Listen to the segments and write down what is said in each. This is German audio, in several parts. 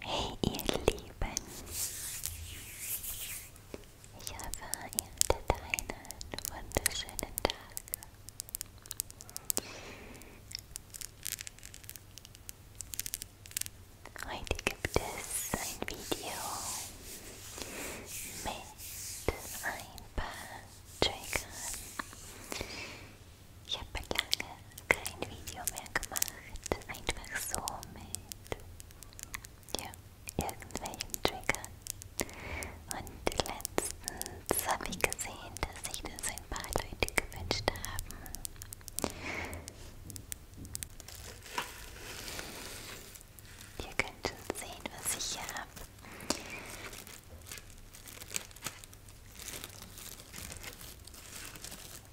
Hey ihr Lieben! Ich hoffe, ihr hattet einen wunderschönen Tag. Heute gibt es ein Video mit ein paar Triggern, Ich habe lange kein Video mehr gemacht, einfach so mit ja, irgendwelchen Triggern. Und letztens habe ich gesehen, dass sich das ein paar Leute gewünscht haben. Ihr könnt schon sehen, was ich hier habe.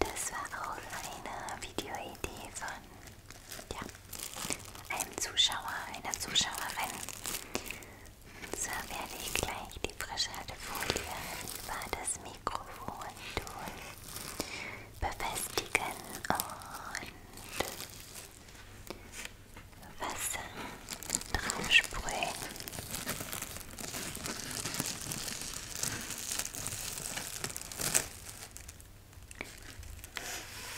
Das war auch eine Videoidee von ja, einem Zuschauer, einer Zuschauerin. Und zwar werde ich gleich die Frischhaltefolie über das Mikrofon tun, befestigen und Wasser drauf sprühen.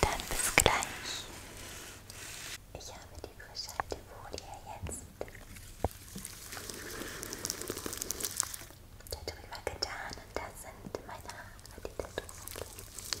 Dann bis gleich. Ich habe die frische Folie jetzt darüber getan und da sind meine Haare, die da drüber gehen.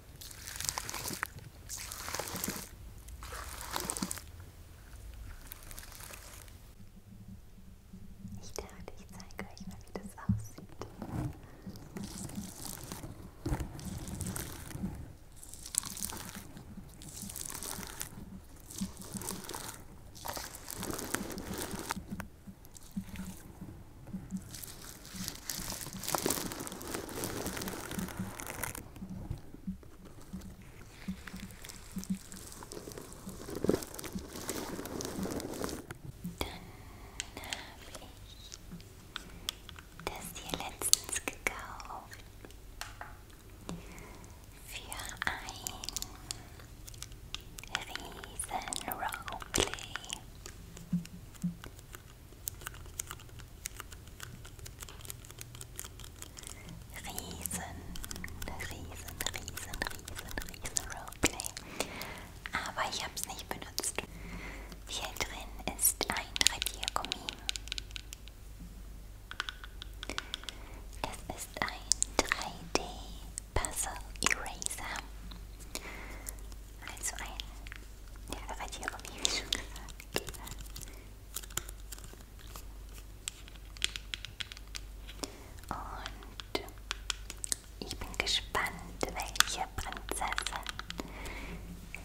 Ich dachte, ich zeige euch mal, wie das aussieht. Jetzt dann habe ich das hier letztens gekauft. Für ein riesen Roleplay. Riesen, riesen, riesen, riesen, riesen Roleplay. Aber ich habe es nicht benutzt. Hier drin ist ein Radiergummi. Das ist ein 3D Puzzle Eraser. Also ein ja, aber die Omi, wie schon gesagt. Und ich bin gespannt, welche Prinzessin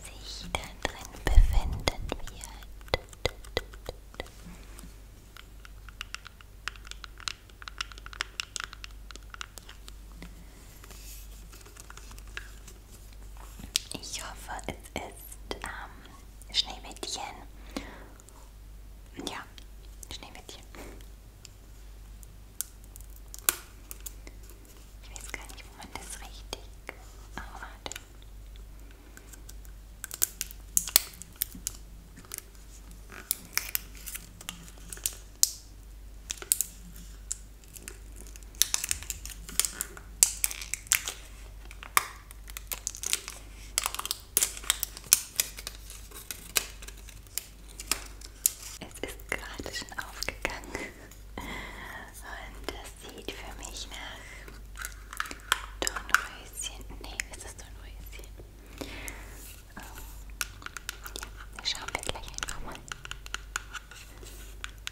sich da drin befinden wird. Ich hoffe, es ist ähm, Schneewittchen. Ja, Schneewittchen. Ich weiß gar nicht, wo man das richtig. Oh, warte. Es ist gerade schon aufgegangen und das sieht für mich nach Dornröschen. Nee, es ist Dornröschen. Ähm, ja, das schauen wir gleich einfach mal.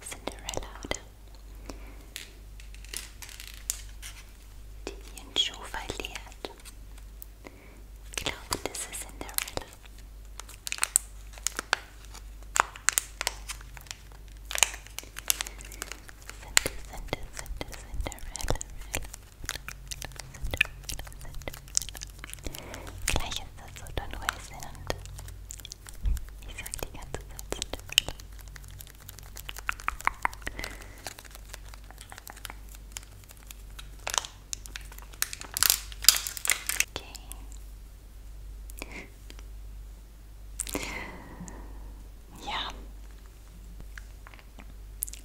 Cinderella, oder? Die ihren Schuh verliert. Ich glaube, das ist Cinderella. Cinder, Cinder, Cinder, Cinderella. Cinderella, Cinderella. Gleich ist das so Don Wilson und ich sag die ganze Zeit Cinderella. Okay. Ja.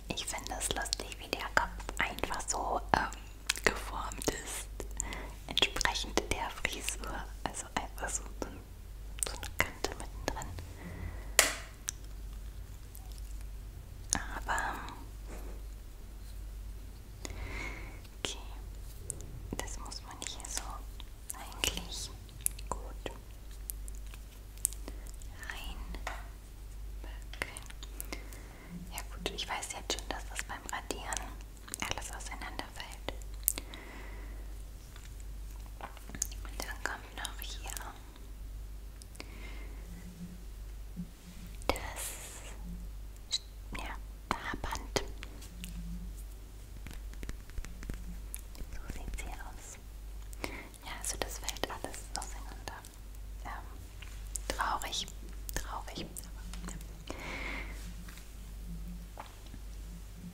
Ich finde es lustig, wie der Kopf einfach so ähm, geformt ist. Entsprechend der Frisur. Also einfach so ein so eine Kante mittendrin. Aber okay, das muss man hier so eigentlich gut reinpacken. Ja gut, ich weiß jetzt schon, dass das beim Radieren alles auseinanderfällt. Und dann kommt noch hier das ja, Haarband. So sieht sie aus. Ja, also das fällt alles auseinander. Ähm, traurig, traurig. Aber, ja.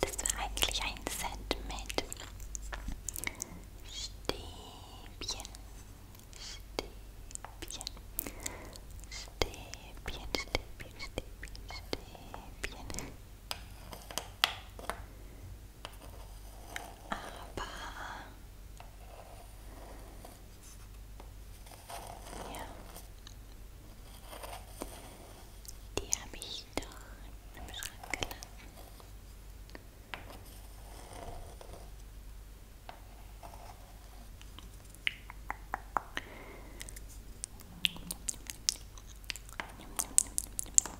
Das war eigentlich ein Set mit Stäbchen, Stäbchen, Stäbchen, Stäbchen, Stäbchen, Stäbchen. Aber ja, die habe ich doch im Schrank gelassen.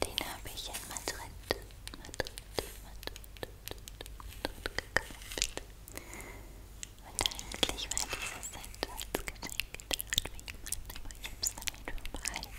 Den habe ich in Madrid, Madrid, Madrid, Madrid gekauft. Und eigentlich war dieses Set als Geschenk gedacht für jemanden, aber ich habe es dann wieder behalten.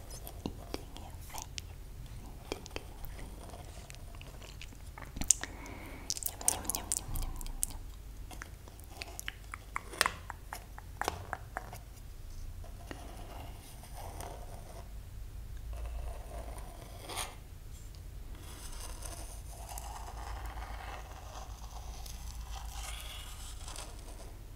eating your face, eating your face. Yum, yum, yum, yum, yum, yum, yum. Yum,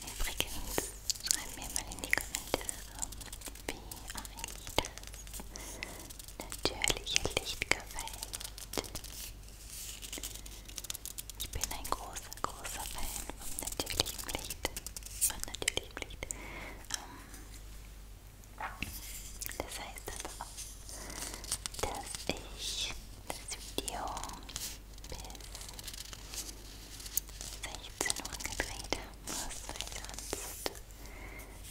Übrigens, schreibt mir mal in die Kommentare, wie euch das natürliche Licht gefällt. Ich bin ein großer, großer Fan vom natürlichen Licht. Von natürlichem Licht. Das heißt aber auch, dass ich das Video bis 16 Uhr gedreht haben muss, weil sonst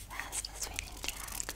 war es das für den Tag.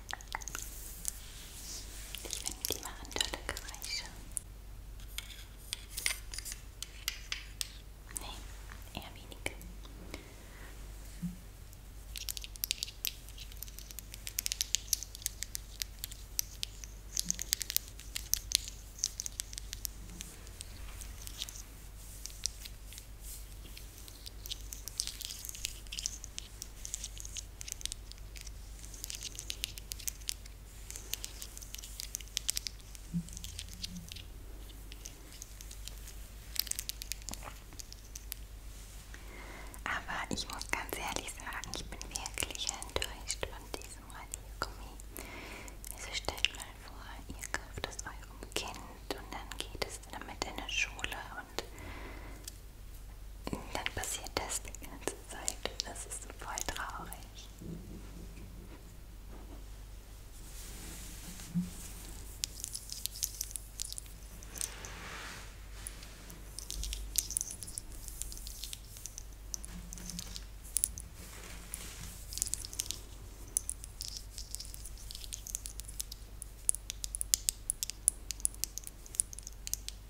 Ich finde, die machen tolle Geräusche. Nee, eher weniger. Aber ich muss ganz ehrlich sagen, ich bin wirklich enttäuscht von diesem Radiergummi. Also stellt mal vor, ihr kauft es eurem Kind und dann geht es damit in eine Schule und dann passiert das die ganze Zeit. Das ist voll traurig.